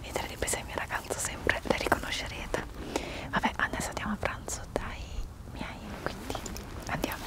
Vedrete di pesa il mio ragazzo sempre le riconoscerete. Vabbè, adesso andiamo a pranzo dai miei, quindi andiamo.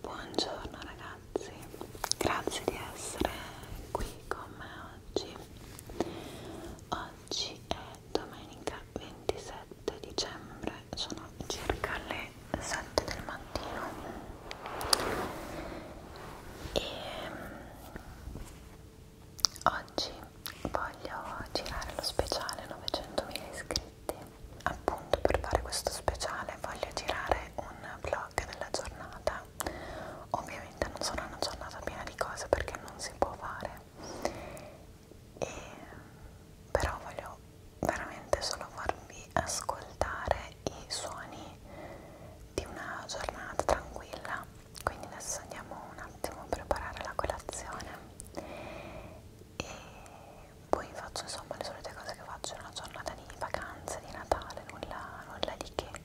Buongiorno ragazzi ragazzi, grazie di essere qui con me oggi. Oggi è domenica 27 dicembre, sono circa le 7 del mattino e mm, oggi voglio girare lo speciale 900.000 iscritti. Appunto per fare questo speciale voglio girare un vlog della giornata Ovviamente non sarà una giornata piena di cose perché non si può fare. E, però voglio veramente solo farvi ascoltare i suoni di una giornata tranquilla. Quindi adesso andiamo un attimo a preparare la colazione e poi faccio insomma le solite cose che faccio in una giornata di vacanze, di Natale, nulla, nulla di che.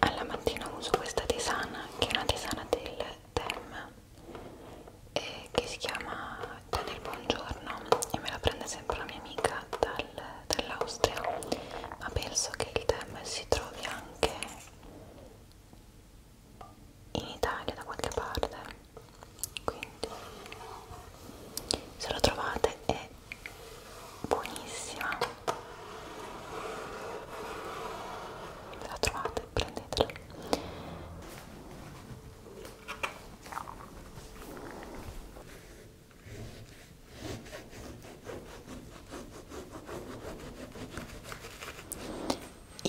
alla mattina uso questa tisana che è una tisana del Term eh, che si chiama Tè del Buongiorno e me la prende sempre una mia amica dal del, dell'Austria ma penso che il tema si trovi anche in Italia da qualche parte quindi se lo trovate è buonissima se la trovate prendetela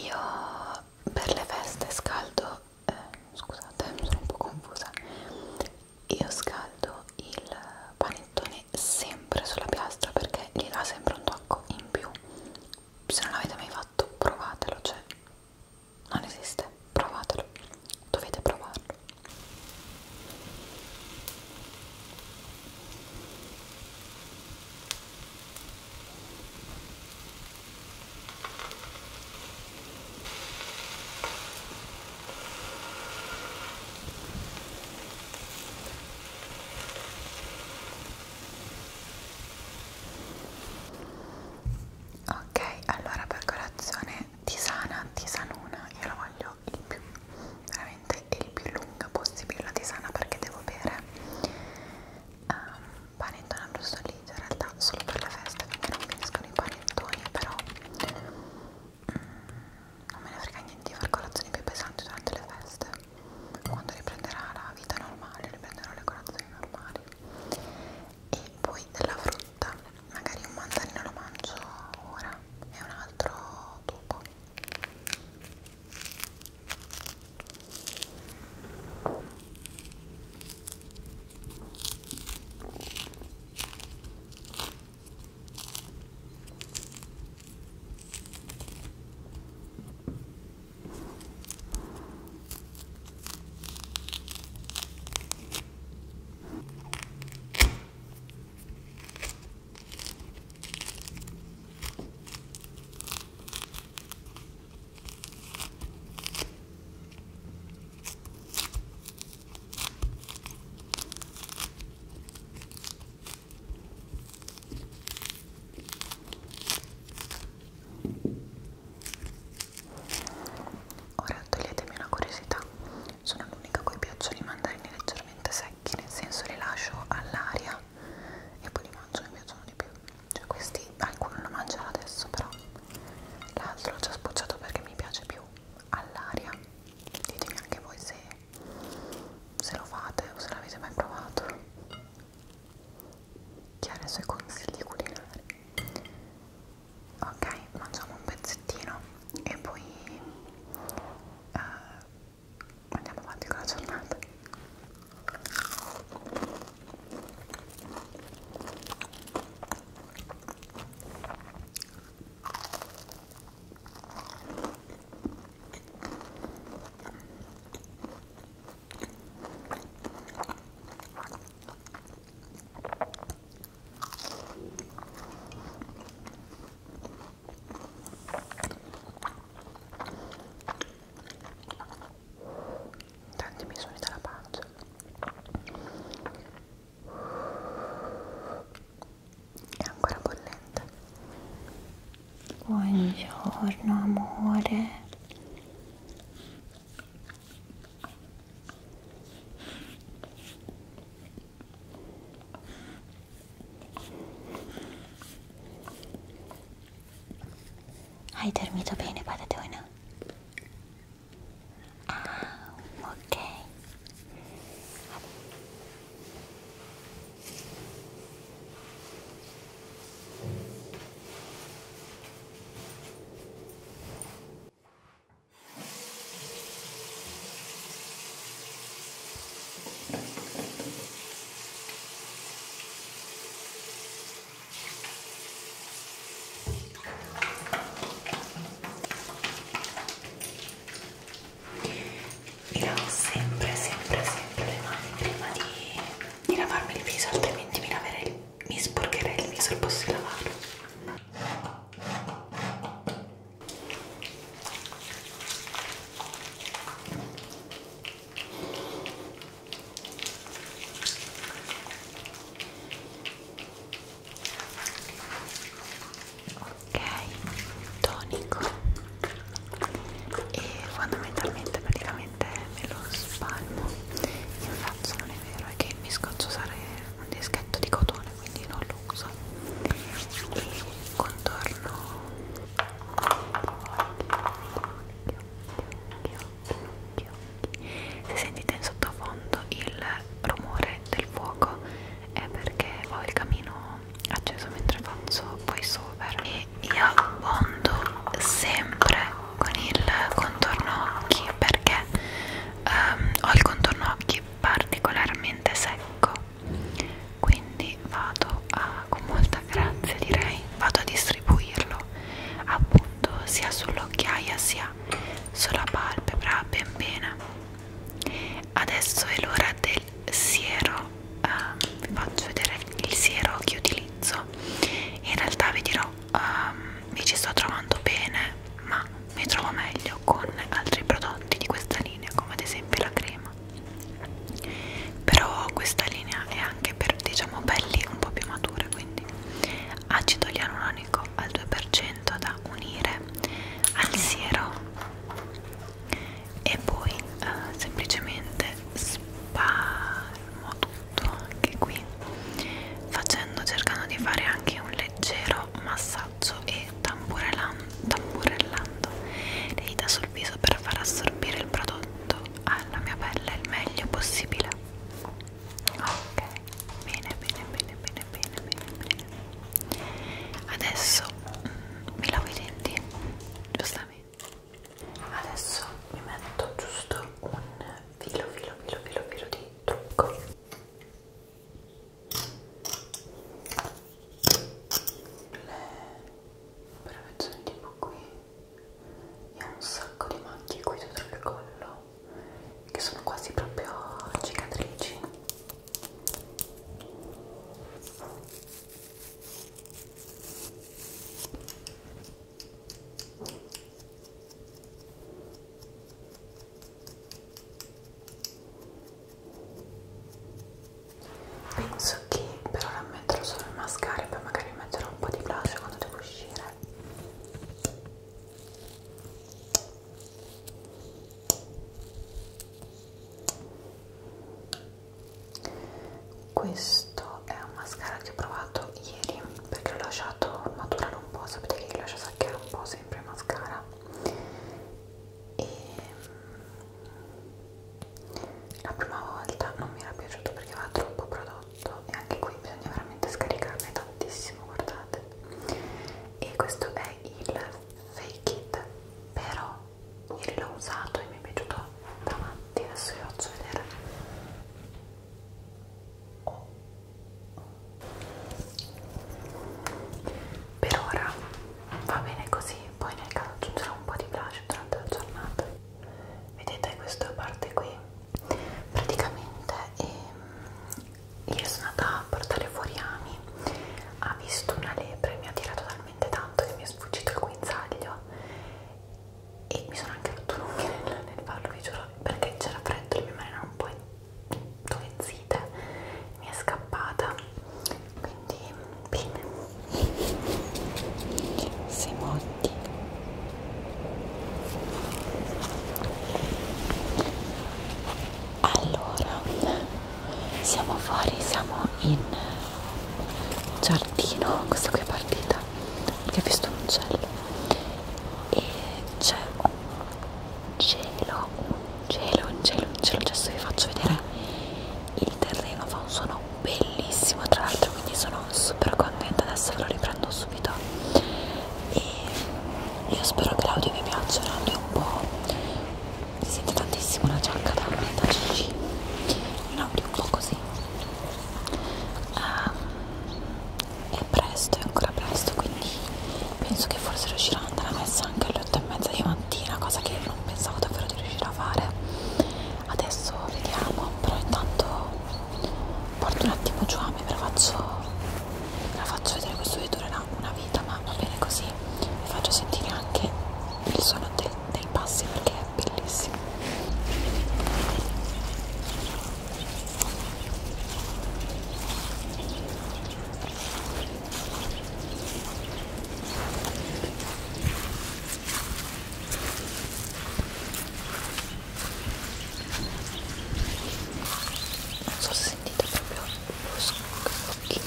io per le feste scaldo, eh, scusate sono un po' confusa, io scaldo il panettone sempre sulla piastra perché gli dà sempre un tocco in più. Se non l'avete mai fatto provatelo, cioè non esiste, provatelo, dovete provarlo. Ok, allora per colazione tisana, tisanuna, io la voglio voglio il più, veramente il più lunga possibile la tisana perché devo bere um, panettone abbrustolito in realtà solo per la festa perché non finiscono i panettoni però mm, non me ne frega niente di fare colazioni più pesanti durante le feste quando riprenderà la vita normale riprenderò le colazioni normali e poi della frutta frutta magari un mandarino lo mangio ora e un altro dopo Ora toglietemi una curiosità, sono l'unica a cui piacciono i mandarini leggermente secchi nel senso li lascio all'aria e poi li mangio mi piacciono di più cioè questi alcuno lo mangerà adesso però l'altro l'ho già spocciato perché mi piace più all'aria ditemi anche voi se, se lo fate o se l'avete mai provato chi ha i suoi consigli culinari ok mangiamo un pezzettino e poi eh, andiamo avanti con la giornata tanti mi suoni dalla pancia è ancora bollente buongiorno amore hai dormito bene, patatona? Ah, ok. Vabbè. Mi lavo sempre, sempre, sempre le mani prima di, di lavarmi il viso, altrimenti mi, laverei, mi sporcherei il viso al posto di lavarlo ok tonico e fondamentalmente praticamente me lo spalmo in faccia non è vero è che mi scoccio usare un dischetto di cotone quindi non lo uso e un contorno se sentite in sottofondo il rumore del fuoco è perché ho il camino acceso mentre faccio voice over e io bondo sempre con il contorno occhi perché um, ho il contorno occhi particolarmente secco quindi vado a con molta grazia direi vado a distribuirlo appunto sia sull'occhiaia sia sulla palpebra ben bene adesso è l'ora del siero uh, vi faccio vedere il siero che utilizzo in realtà vi dirò um, mi ci sto trovando bene ma mi trovo meglio con altri prodotti di questa linea come ad esempio la crema però questa linea è anche per diciamo pelli un po' più mature quindi acido ialuronico al 2% da unire al siero e poi eh, semplicemente sparmo tutto anche qui facendo cercando di fare anche un leggero massaggio braccio e tamburellando le dita sul viso per far assorbire il prodotto alla mia pelle il meglio possibile. Ok, bene, bene, bene, bene, bene, bene, bene. Adesso mm, mi lavo i denti, giustamente. Adesso mi metto giusto un filo, filo, filo, filo, filo di trucco le operazioni tipo qui e ho un sacco di macchie qui dietro il collo che sono quasi proprio cicatrici penso che per ora metterò solo il mascara e poi magari metterò un po' di blush quando devo uscire questo è un mascara che ho provato ieri perché l'ho lasciato maturare un po' sapete che io lascio sacchare un po' sempre il mascara e la prima volta non mi era piaciuto perché aveva troppo prodotto e anche qui bisogna veramente scaricarne tantissimo guardate e questo è il fake it però ieri l'ho usato e mi è piaciuto davanti adesso vi faccio vedere per ora va bene così poi nel caso aggiungerò un po' di blush durante la giornata vedete questa parte qui praticamente ehm, io sono andata a portare fuori Ami ha visto una lepre mi ha tirato talmente tanto che mi è sfuggito il guinzaglio e mi sono anche rotto l'unghia nel, nel farlo vi giuro perché c'era freddo le mie mani erano un po' in due zite mi è scappata quindi bene Semotti allora siamo fuori siamo in giardino questa qui è partita perché ho visto un uccello e c'è un cielo, un cielo, un cielo, un cielo. Adesso vi faccio vedere il terreno, fa un suono bellissimo tra l'altro, quindi sono super contenta. Adesso ve lo riprendo subito. E io spero che l'audio vi piaccia, l'audio un po'. Si sente tantissimo la giacca da, da Gigi, un audio un po' così. Um, è presto, è ancora presto, quindi penso che forse riuscirò ad andare a messa anche alle 8 e mezza di mattina cosa che non pensavo davvero di riuscire a fare adesso vediamo però intanto porto un attimo giù a me ve la faccio, ve la faccio vedere questo video durerà una vita ma va bene così vi faccio sentire anche il suono del, dei passi perché è bellissimo non so se sentite proprio lo scrocchio,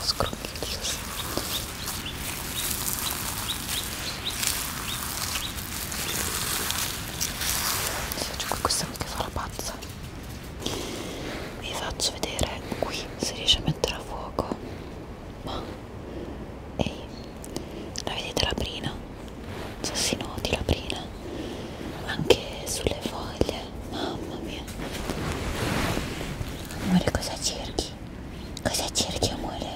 scrocchio. Sì, cioè, questa mica fa la pazza vi faccio vedere qui se riesce a mettere a fuoco ma ehi la vedete la prina so si noti la prina anche sulle foglie mamma mia amore cosa cerchi cosa cerchi amore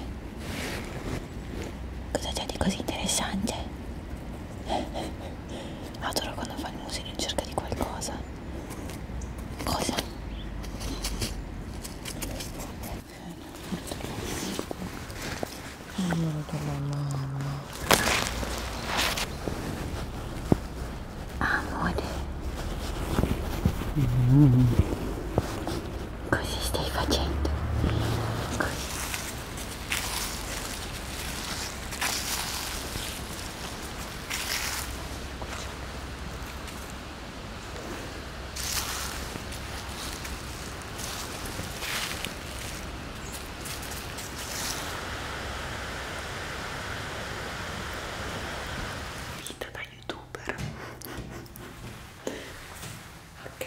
cosa c'è di così interessante adoro quando fa il musino in cerca di qualcosa cosa numero della mamma amore mm. cosa stai facendo cosa? vita da youtuber ok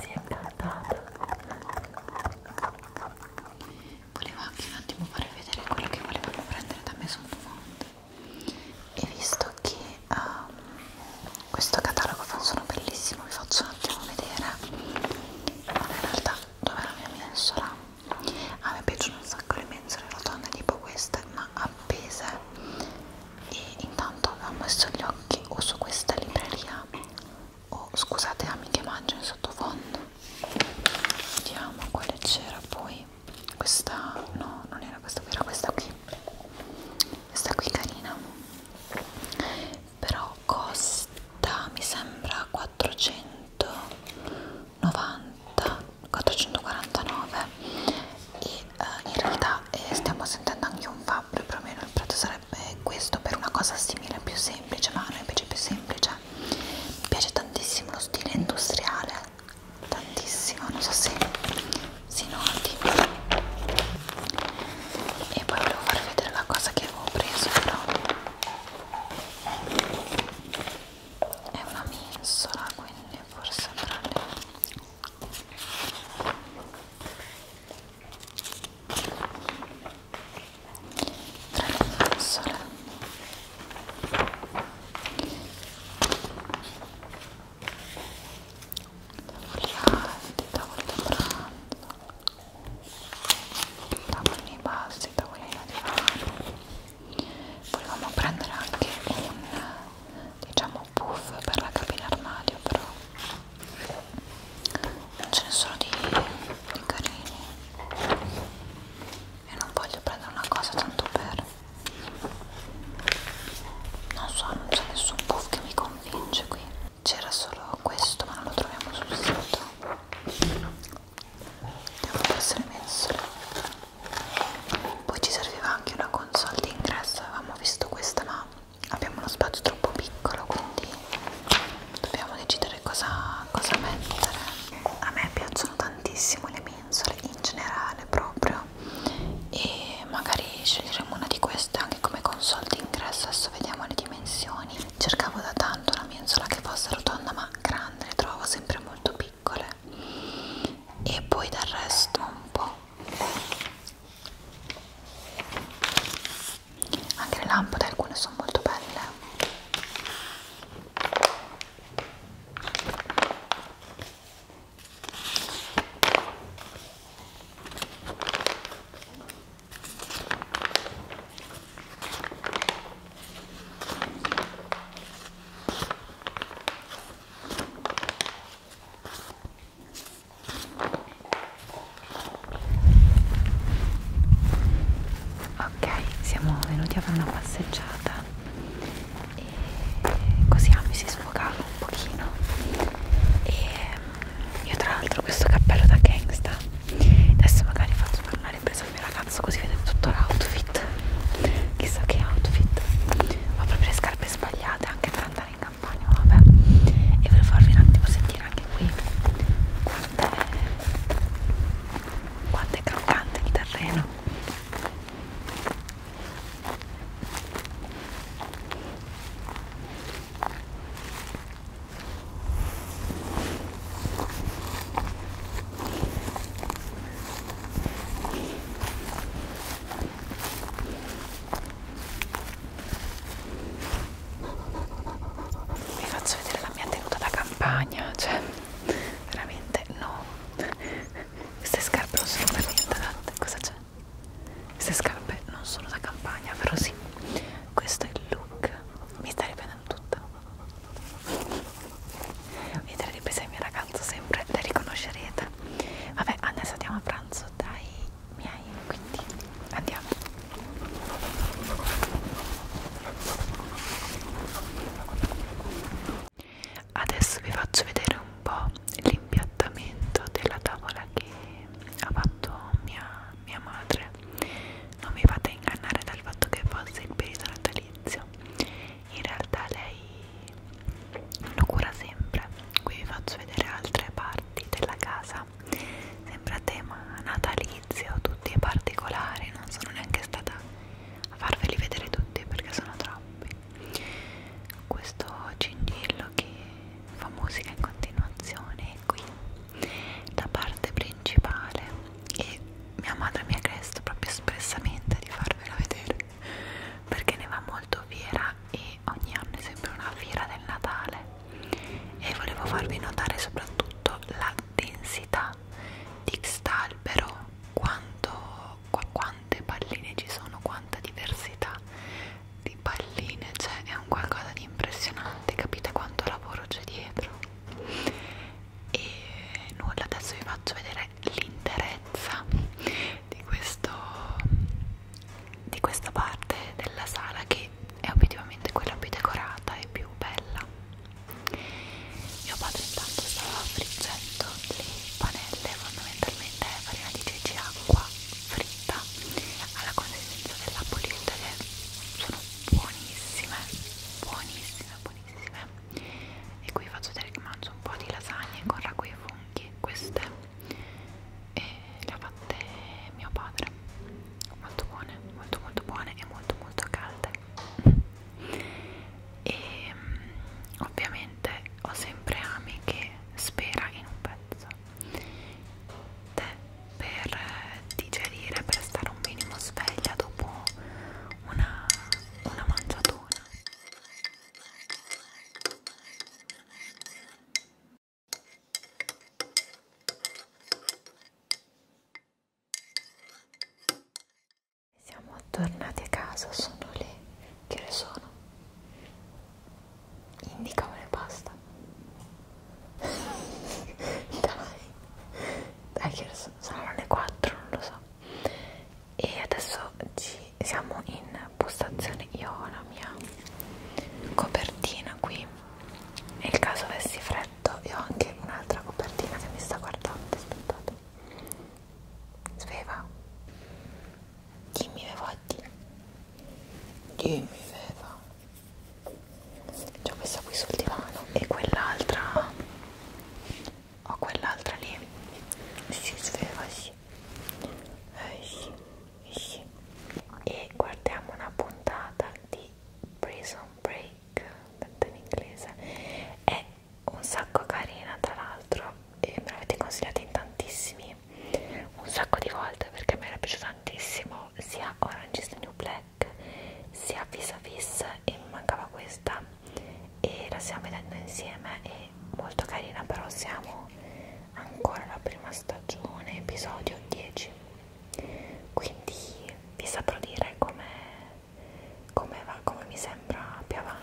si è cantata volevo anche un attimo far vedere quello che volevano prendere da me sul mondo e visto che um, questo catalogo funziona bellissimo, vi faccio un attimo vedere allora, in realtà dov'è la mia mensola? a me piacciono un sacco le mensole rotonde tipo queste ma appese e intanto ho messo gli occhi o su questa libreria o scusate amiche mangio in sottofondo vediamo quale c'era poi questa no non era questa qui era questa qui questa qui carina però costa mi sembra 490 449 e eh, in realtà eh, stiamo sentendo anche un fabbro più o meno il prezzo sarebbe questo per una cosa simile più semplice ma a noi piace più semplice mi piace tantissimo lo stile industriale tantissimo non so se si noti e poi volevo farvi vedere la cosa che avevo preso però è una mensola quindi forse prende tra le mensole tavoli alti, tavoli da pranzo tavoli bassi, tavoli da divano volevamo prendere anche un diciamo puff per la cabina armadio però non ce ne sono di, di carini e non voglio prendere una cosa tanto per non so, non c'è nessun puff che mi convince qui c'era solo questo ma non lo troviamo sul sito devono essere mensole poi ci serviva anche una console di ingresso avevamo visto questa ma abbiamo uno spazio troppo piccolo quindi dobbiamo decidere cosa, cosa mettere a me piacciono tantissimo le mensole in generale proprio e magari sceglieremo una di queste anche e come console d'ingresso adesso vediamo le dimensioni cercavo da tanto una mensola che fosse rotonda ma grande le trovo sempre molto piccole e poi del resto un po' anche le lampade alcune sono molto belle Ok, siamo venuti a fare una passeggiata e così Ami ah, si sfogava un pochino e io tra l'altro questo cappello da gangsta Adesso magari faccio fare una ripresa al mio ragazzo così vedete tutto l'outfit Chissà che outfit Ho proprio le scarpe sbagliate anche per andare in campagna vabbè E volevo farvi un attimo sentire anche qui Quanto è, quanto è croccante il terreno vi faccio vedere la mia tenuta da campagna cioè veramente no queste scarpe non sono per niente adatte cosa c'è? Queste scarpe non sono da campagna, però sì. Questo è il look. Mi sta riprendendo tutta. Vedete le riprese del mio ragazzo sempre, le riconoscerete. Vabbè, adesso andiamo a pranzo dai miei, quindi andiamo. Adesso vi faccio vedere un po' l'impiattamento della tavola che ha fatto mia, mia madre non mi fate ingannare dal fatto che fosse il periodo natalizio in realtà lei lo cura sempre qui vi faccio vedere altre parti della casa sempre a tema natalizio tutti i particolari non sono neanche stata a farveli vedere tutti perché sono troppi questo cingillo che fa musica in continuazione qui la parte principale e mia madre mi ha chiesto proprio espressamente di farvelo vedere perché ne va molto fiera e ogni anno è sempre una fiera del Natale e volevo farvi notare soprattutto la densità di quest'albero quanto, qu quante palline ci sono, quanta diversità di palline, cioè è un qualcosa di impressionante, capite quanto lavoro c'è dietro? E nulla, adesso vi faccio vedere l'interezza di, questo, di questa parte della sala che è obiettivamente quella più decorata e più bella. Mio padre intanto stava friggendo le panelle, fondamentalmente è eh, farina di ceci acqua fritta pasta alla consistenza della polistele sono buonissime buonissime buonissime e qui faccio vedere che mangio un po' di lasagne con ragù e funghi queste e le ha fatte mio padre molto buone molto molto buone e molto molto calde e mm, ovviamente ho sempre Ami che spera in un pezzo tè per digerire, per stare un minimo sveglia dopo una, una mangiatona. Siamo tornati a casa, sono le che ore sono? Indicamone basta. Dai. Dai che saranno le 4, non lo so. E adesso ci siamo in postazione. Io ho la mia copertina qui. Nel caso avessi freddo, io ho anche un'altra copertina che mi sta guardando. Aspettate. Sveva. Dimmi le voti. Dimmi Veva. C'è questa qui sul divano e quell'altra ho quell'altra lì si sveva sì. Eh, sì, eh, sì e guardiamo una puntata di Prison Break detto in inglese è un sacco carina tra l'altro e me l'avete consigliata in tantissimi un sacco di volte perché mi era piaciuto tantissimo ho sia Orange is the New Black sia Vis a Vis e mi mancava questa e la stiamo vedendo insieme è molto carina però siamo ancora alla prima stagione episodio 10 quindi vi saprò dire come come va come mi sembra più avanti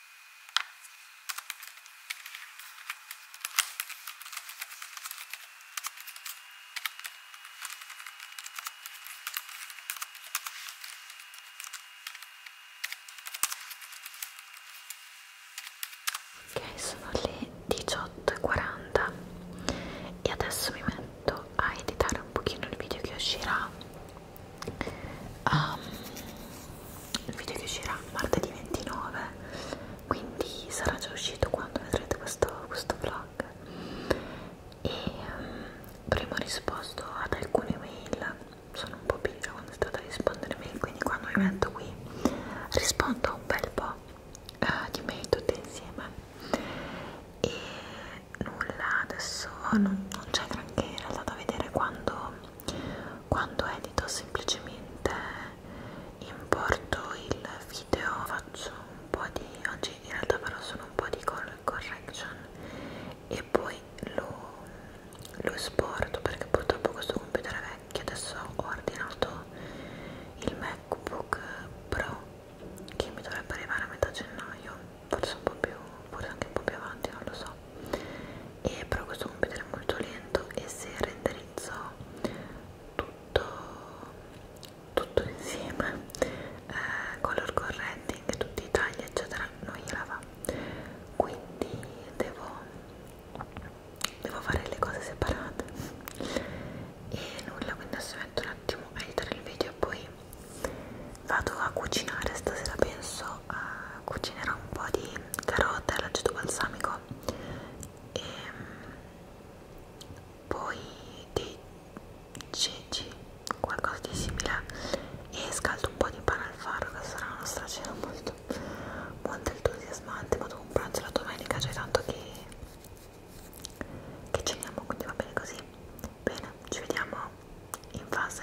Ok, sono le 18.40 e adesso mi metto a editare un pochino il video che uscirà um, il video che uscirà martedì 29 quindi sarà già uscito quando vedrete questo, questo vlog e um, avremo risposto ad alcune mail sono un po' pigra quando è tratta di rispondere mail quindi quando mi metto qui rispondo a un bel po' uh, di mail tutte insieme e nulla adesso non, non c'è granché in realtà da vedere quando quando edito semplicemente importo il video faccio un po' di oggi in realtà però sono un po' di color correction e poi lo, lo esporto perché purtroppo questo computer è vecchio adesso ho ordinato il macbook pro che mi dovrebbe arrivare a metà gennaio forse un po' più forse anche un po' più avanti non lo so e però questo computer è molto lento e se renderizzò tutto, tutto insieme eh, color correcting tutti i tagli eccetera non gliela va quindi devo, devo fare le cose separate e nulla quindi adesso metto un attimo a editare il video e poi vado a cucinare stasera penso a cucinerò un po' di carote all'aceto balsamico e mm, poi dei ceci, qualcosa di simile e scaldo un po' di pane al farro che sarà la nostra cena molto, molto entusiasmante ma dopo un pranzo la domenica c'è tanto che, che ceniamo quindi va bene così bene, ci vediamo in fase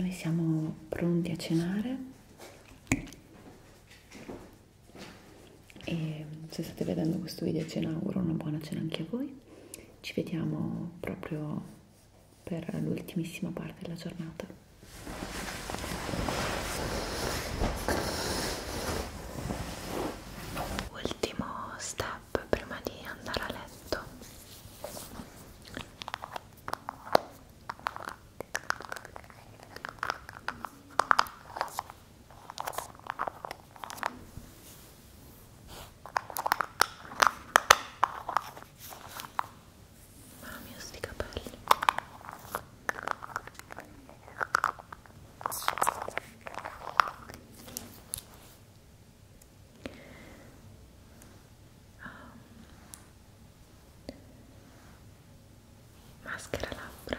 Noi siamo pronti a cenare e se state vedendo questo video a cena auguro una buona cena anche a voi ci vediamo proprio per l'ultimissima parte della giornata. Ultimo step prima di andare a letto. Mamma mia sti capelli ah. maschera labbra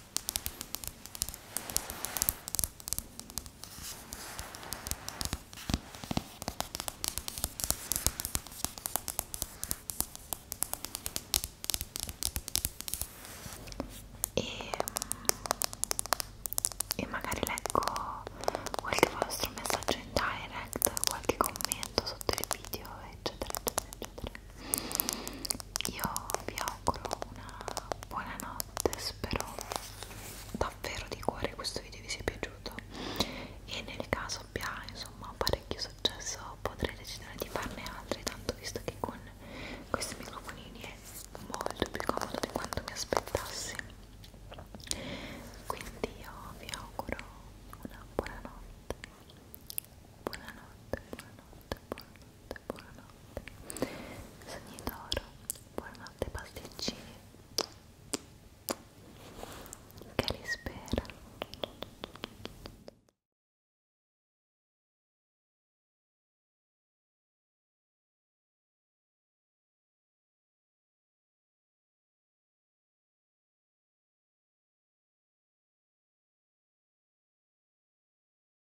e, e magari leggo qualche vostro messaggio in direct, qualche commento sotto il video, eccetera, eccetera, eccetera. Io vi auguro una buonanotte spero davvero di cuore questo video vi sia piaciuto e nel caso abbia insomma parecchio successo potrei decidere di farne altri tanto visto che con questi microfonini è molto più comodo di quanto mi aspettassi quindi io vi auguro una buonanotte buonanotte buonanotte buonanotte buonanotte, buonanotte. Sogni d'oro, buonanotte pasticcini. Che li spera.